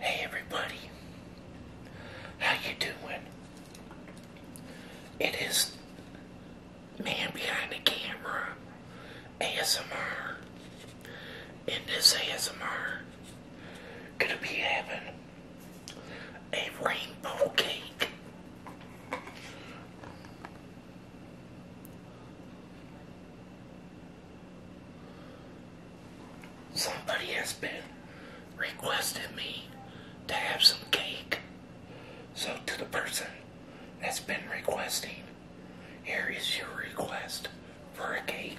Hey everybody, how you doing? It is man behind the camera, ASMR, and this ASMR gonna be having a rainbow cake. Somebody has been requesting me to have some cake. So, to the person that's been requesting, here is your request for a cake.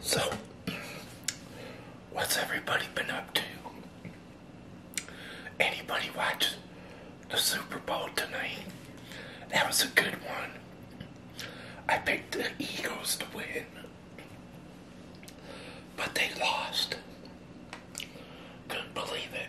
So, what's everybody been up to? Anybody watch the Super Bowl tonight? That was a good one. I picked the Eagles to win, but they lost. Couldn't believe it.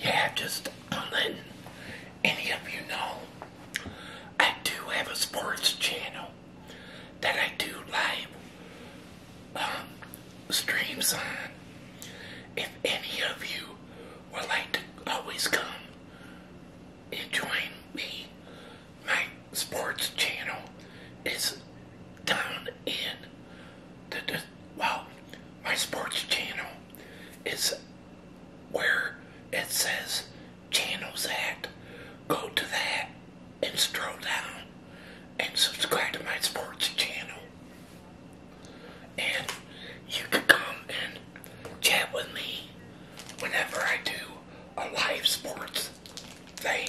Yeah, just letting any of you know, I do have a sports channel that I do live um, streams on. If any of you would like to always come and join me. My sports channel is down in the, the well, my sports channel is where it says channels at. Go to that and scroll down and subscribe to my sports channel and you can come and chat with me whenever I do a live sports thing.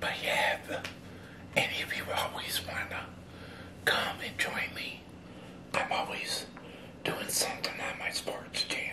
But yeah, any of you always want to come and join me, I'm always doing something on my sports channel.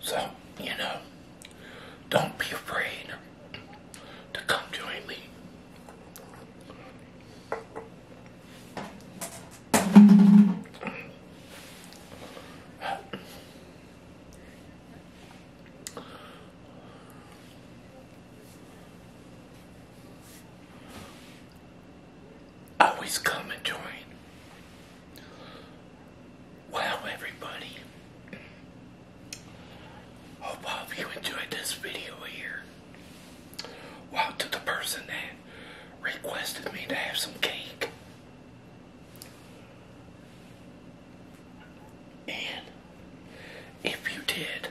So, you know, don't be afraid to come join me. Always come and join. Wow, everybody. Hope all of you enjoyed this video here. Wow, to the person that requested me to have some cake. And if you did,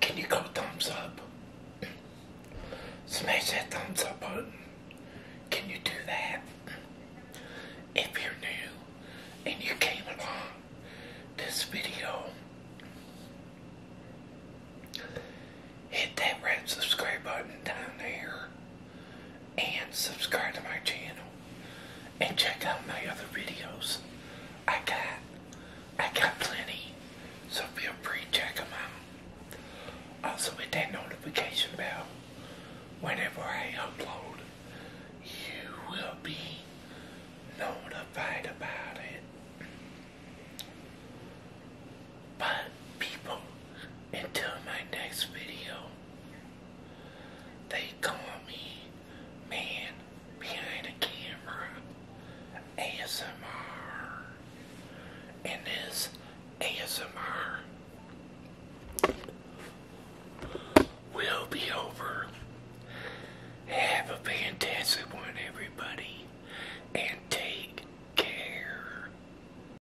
can you go thumbs up? Smash that thumbs up button. Can you do that? If you're new and you came along this video, hit that red subscribe button down there and subscribe to my channel and check out my other videos. I got I got plenty, so feel free to check them out. Also hit that notification bell whenever I upload. You will be notified about it. But people, until my next video, they call me man behind a camera ASMR. And this ASMR will be over. Have a fantastic one, everybody, and take care.